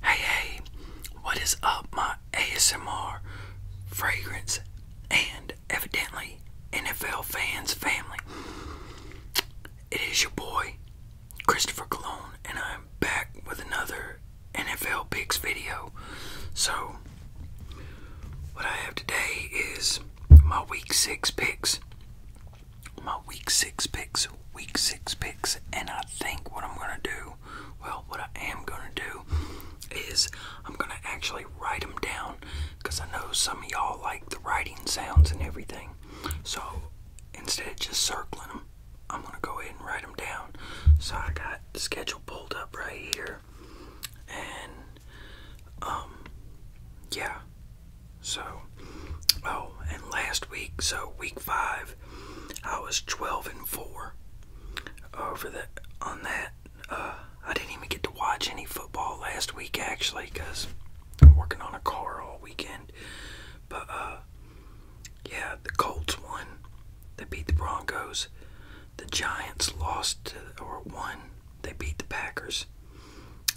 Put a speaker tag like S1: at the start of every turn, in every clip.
S1: Hey, hey, what is up, my ASMR, fragrance, and evidently NFL fans family? It is your boy, Christopher Cologne, and I'm back with another NFL Picks video. So, what I have today is my week six picks my week six picks, week six picks, and I think what I'm gonna do, well, what I am gonna do is I'm gonna actually write them down because I know some of y'all like the writing sounds and everything. So instead of just circling them, I'm gonna go ahead and write them down. So I got the schedule pulled up right here, and um, yeah, so, oh, and last week, so week five, I was 12 and 4 over the, on that. Uh, I didn't even get to watch any football last week, actually, because I'm working on a car all weekend. But, uh, yeah, the Colts won. They beat the Broncos. The Giants lost or won. They beat the Packers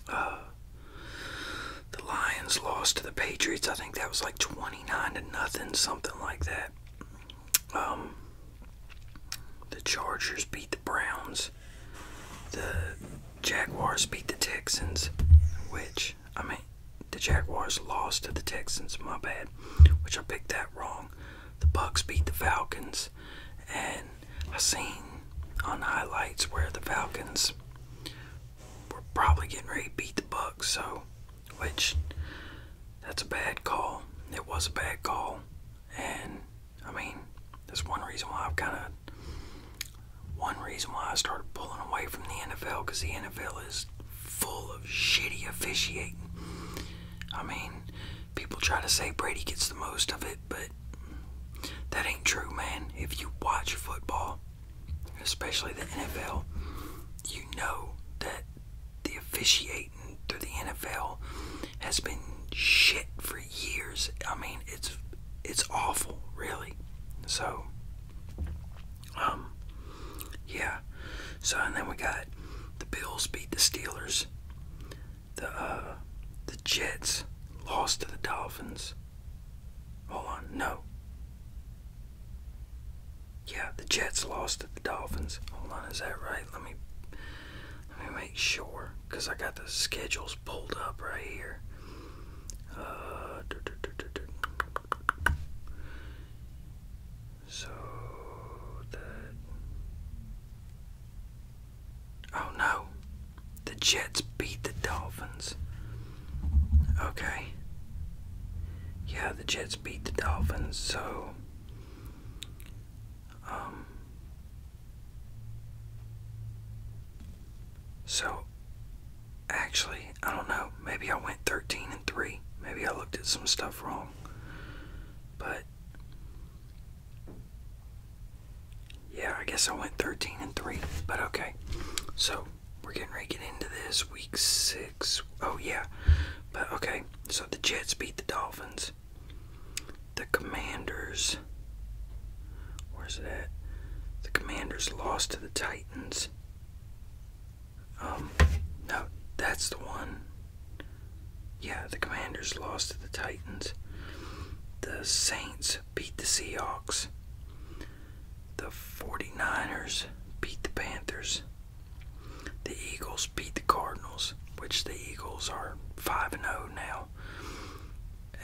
S1: the Lions lost to the Patriots. I think that was like 29 to nothing, something like that. Um, the Chargers beat the Browns. The Jaguars beat the Texans, which, I mean, the Jaguars lost to the Texans, my bad, which I picked that wrong. The Bucks beat the Falcons, and I seen on highlights where the Falcons we're probably getting ready to beat the Bucks. So, which that's a bad call. It was a bad call, and I mean that's one reason why I've kind of one reason why I started pulling away from the NFL because the NFL is full of shitty officiating. I mean, people try to say Brady gets the most of it, but that ain't true, man. If you watch football, especially the NFL, you know that the officiating through the NFL has been shit for years. I mean, it's it's awful, really. So, um, yeah. So and then we got the Bills beat the Steelers. The uh, the Jets lost to the Dolphins. Hold on, no. Yeah, the Jets lost to the Dolphins. Hold on, is that right? Let me let me make sure, cause I got the schedules pulled up right here. Uh, so that Oh no. The Jets beat the Dolphins. Okay. Yeah, the Jets beat the Dolphins, so. Um. So, actually, I don't know. Maybe I went 13 and 3. Maybe I looked at some stuff wrong. But yeah, I guess I went 13 and 3, but okay. So, we're getting ready to get into this. Week 6. Oh, yeah. But okay. So, the Jets beat the Dolphins. The Commanders. Where's it at? The Commanders lost to the Titans. Um, no, that's the one. Yeah, the Commanders lost to the Titans. The Saints beat the Seahawks. The 49ers beat the Panthers. The Eagles beat the Cardinals, which the Eagles are 5 0 now.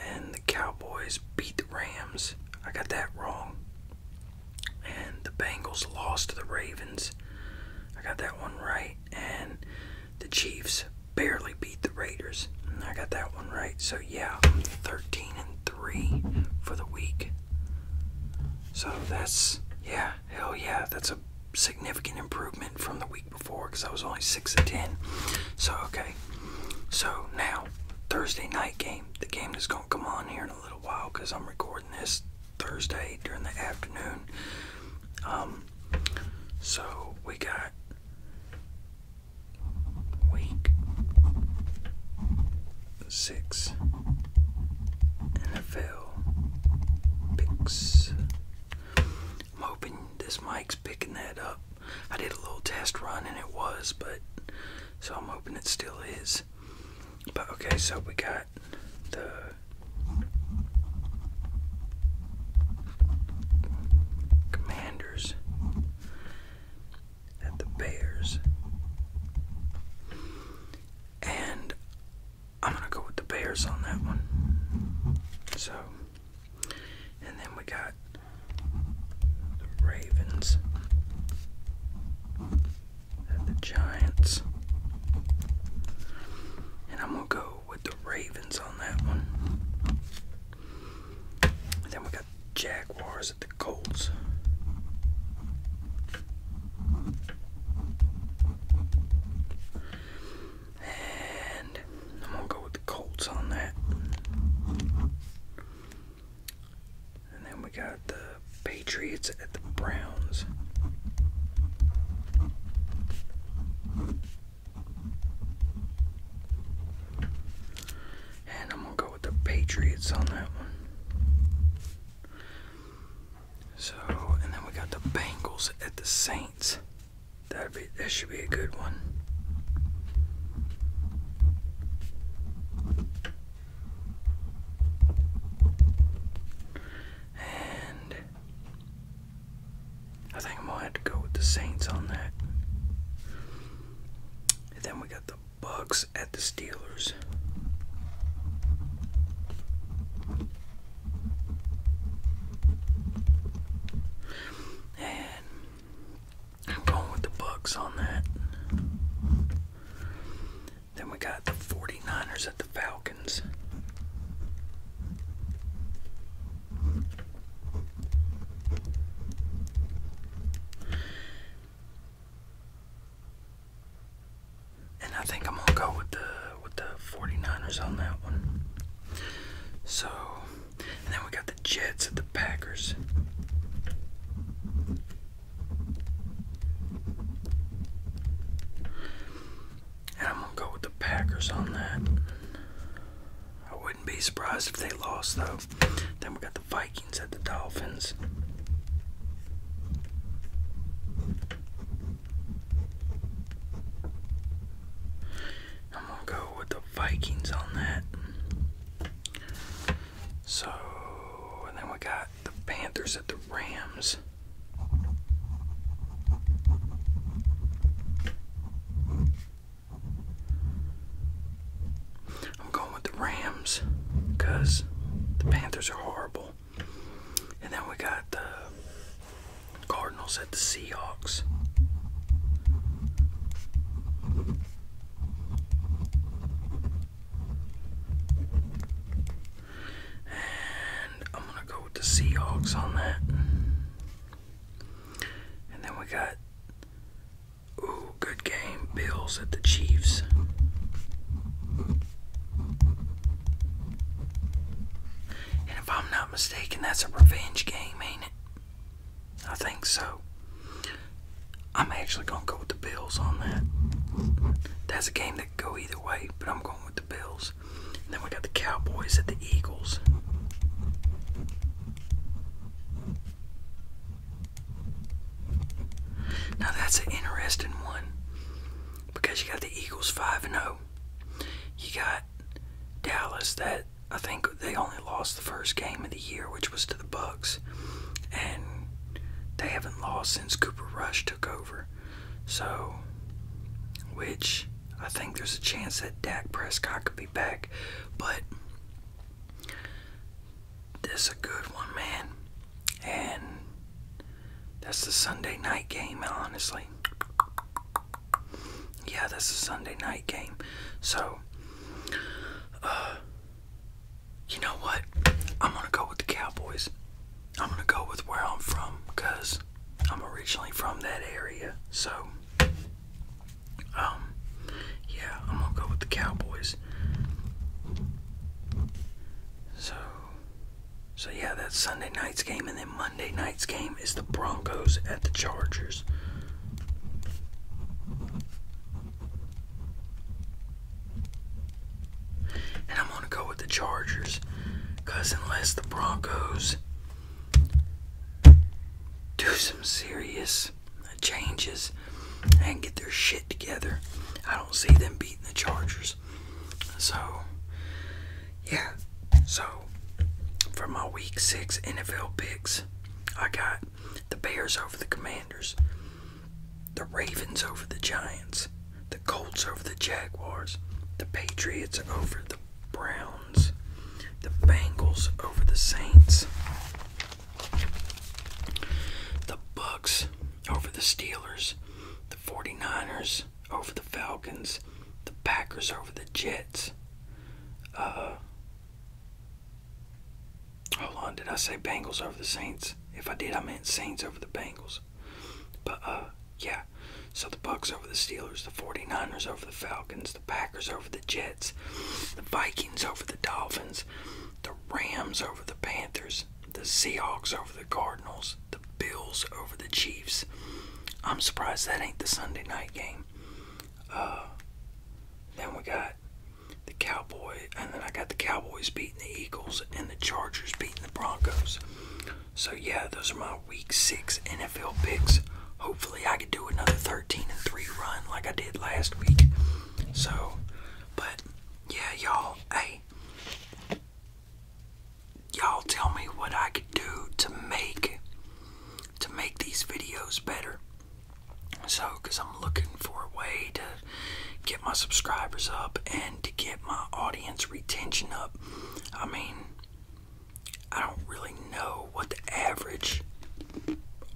S1: And the Cowboys beat the Rams. I got that wrong. And the Bengals lost to the Ravens. I got that one right. And the Chiefs barely beat the Raiders. I got that one right. So yeah, 13 and 3 for the week. So that's yeah, hell yeah, that's a significant improvement from the week before because I was only 6 and 10. So okay. So now Thursday night game. The game is gonna come on here in a little while because I'm recording this Thursday during the afternoon. Um so we got week six NFL picks. I'm hoping this mic's picking that up. I did a little test run and it was, but so I'm hoping it still is. But okay, so we got the Commanders at the Bears. And I'm going to go with the Bears on that one. So, and then we got the Ravens at the Giants. And I'm going to go with the Ravens on that one. then we got Jaguars at the Colts. And I'm gonna go with the Colts on that. And then we got the Patriots at the Browns. And I'm going to go with the Patriots on that one. So, and then we got the Bengals at the Saints. That'd be, that should be a good one. And I think I'm gonna have to go with the Saints on that. then we got the Bucks at the Steelers. And I'm going with the Bucks on that. Then we got the 49ers at the Falcons. And I think I'm gonna go with the with the 49ers on that one. So and then we got the Jets at the Packers. And I'm going to go with the Packers on that. I wouldn't be surprised if they lost, though. Then we got the Vikings at the Dolphins. I'm going to go with the Vikings on that. So, and then we got the Panthers at the Rams. I'm going with the Rams because the Panthers are horrible. And then we got the Cardinals at the Seahawks. And I'm going to go with the Seahawks on that. And then we got, ooh, good game, Bills at the Chiefs. And if I'm not mistaken, that's a revenge game, ain't it? I think so. I'm actually going to go with the Bills on that. That's a game that could go either way, but I'm going with the Bills then we got the Cowboys at the Eagles. Now that's an interesting one because you got the Eagles 5 0. You got Dallas that I think they only lost the first game of the year, which was to the Bucks. And they haven't lost since Cooper Rush over. So, which I think there's a chance that Dak Prescott could be back, but this is a good one, man. And that's the Sunday night game, honestly. Yeah, that's the Sunday night game. So, uh, you know what? I'm gonna go with the Cowboys. I'm gonna go with where I'm from because I'm originally from that area. So, um, yeah, I'm gonna go with the Cowboys. So, so yeah, that's Sunday night's game, and then Monday night's game is the Broncos at the Chargers. And I'm going to go with the Chargers. Because unless the Broncos do some serious changes and get their shit together, I don't see them beating the Chargers. So, yeah. So, for my week six NFL picks, I got the Bears over the Commanders the Ravens over the Giants, the Colts over the Jaguars, the Patriots over the Browns, the Bengals over the Saints, the Bucks over the Steelers, the 49ers over the Falcons, the Packers over the Jets. Uh, hold on, did I say Bengals over the Saints? If I did, I meant Saints over the Bengals. But, uh, yeah. So the Bucks over the Steelers, the 49ers over the Falcons, the Packers over the Jets, the Vikings over the Dolphins, the Rams over the Panthers, the Seahawks over the Cardinals, the Bills over the Chiefs. I'm surprised that ain't the Sunday night game. Uh, then we got the Cowboy, and then I got the Cowboys beating the Eagles and the Chargers beating the Broncos. So yeah, those are my Week Six NFL picks. Hopefully, I can do another 13 and three run like I did last week. So, but yeah, y'all, hey, y'all, tell me what I could do to make to make these videos better. So, cause I'm looking for a way to get my subscribers up and to get my audience retention up. I mean, I don't really know what the average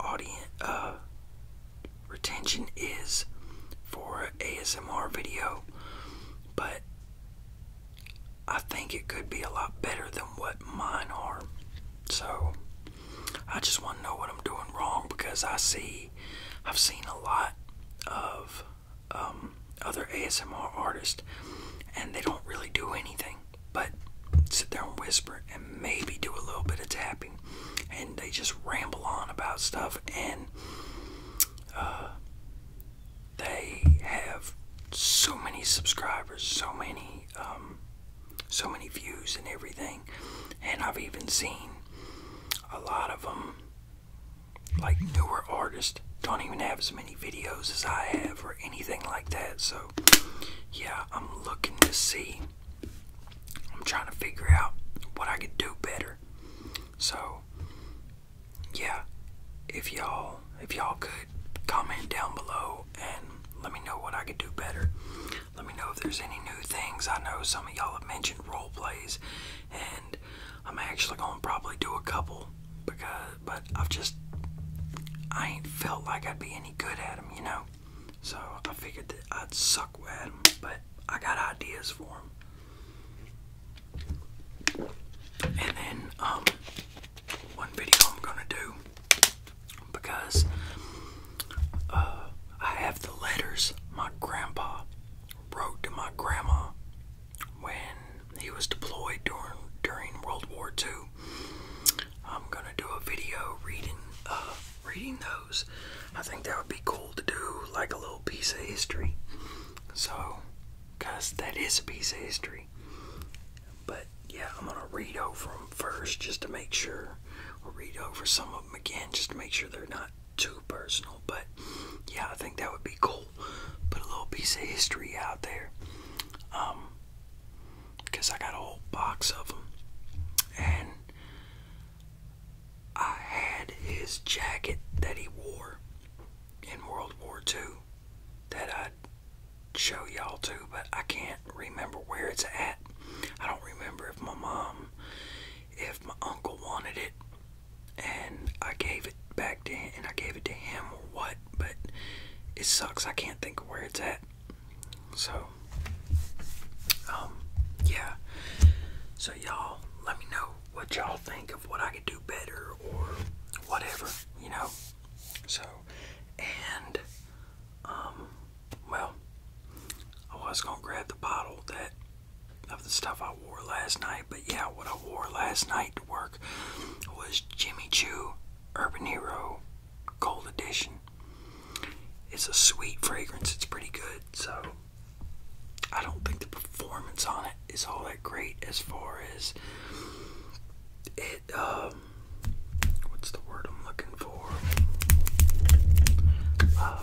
S1: audience uh, retention is for ASMR video, but I think it could be a lot better than what mine are. So I just want to know what I'm doing wrong because I see i have seen a lot of um, other ASMR artists, and they don't really do anything but sit there and whisper and maybe do a little bit of tapping, and they just ramble on about stuff, and uh, they have so many subscribers, so many, um, so many views and everything, and I've even seen a lot of them, like newer artists, don't even have as many videos as I have or anything like that. So, yeah, I'm looking to see. I'm trying to figure out what I could do better. So, yeah, if y'all if y'all could comment down below and let me know what I could do better. Let me know if there's any new things. I know some of y'all have mentioned role plays, and I'm actually gonna probably do a couple because, but I've just I ain't felt like I'd be any good at them, you know. So I figured that I'd suck with them, but I got ideas for them. And then um, one video I'm gonna do because uh, I have the letters my grandpa wrote to my grandma when he was deployed during during World War II. I'm gonna do a video reading uh, reading those. I think that would be cool to do, like a little piece of history. So, cause that is a piece of history. But yeah, I'm gonna read over them first just to make sure. We'll read over some of um, again just to make sure they're not too personal. But yeah, I think that would be cool. Put a little piece of history out there. Um, because I got a whole box of them. And I had his jacket that he wore in World War II that I'd show y'all too, but I can't remember where it's at. I don't remember if my mom, if my uncle wanted it, and I gave it back to him, and I gave it to him or what, but it sucks. I can't think of where it's at. So, um, yeah. So y'all, let me know what y'all think of what I could do better or whatever, you know. So, and, um, well, I was gonna grab the bottle that of the stuff I wore last night, but yeah, what I wore last night to work was Jimmy Choo Urban Hero Gold Edition. It's a sweet fragrance, it's pretty good, so I don't think the performance on it is all that great as far as it um what's the word I'm looking for? Uh,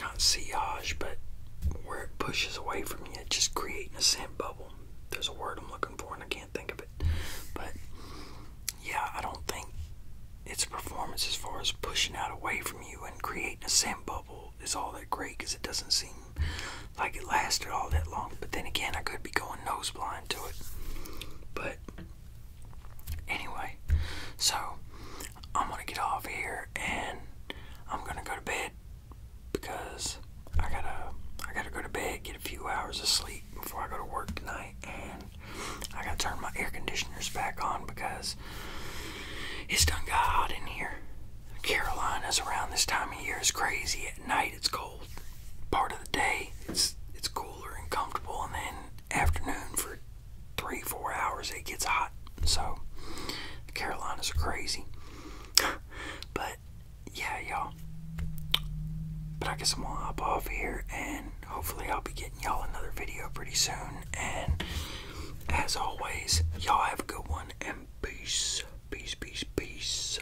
S1: not sillage, but where it pushes away from you, just creating a sand bubble. There's a word I'm looking for, and I can't think of it. But yeah, I don't think its performance, as far as pushing out away from you and creating a sand bubble, is all that great because it doesn't seem like it lasted all that long. But then again, I could be going nosebleed mind to it. But anyway, so I'm gonna get off here and I'm gonna go to bed because I gotta I gotta go to bed, get a few hours of sleep before I go to work tonight, and I gotta turn my air conditioners back on because it's done got hot in here. Carolina's around this time of year is crazy. At night it's cold cold part of the day. It's it's cooler and comfortable, and then afternoon for three four hours it gets hot. So the Carolinas are crazy, but yeah, y'all. But I guess I'm gonna hop off here, and hopefully I'll be getting y'all another video pretty soon. And as always, y'all have a good one and peace, peace, peace, peace.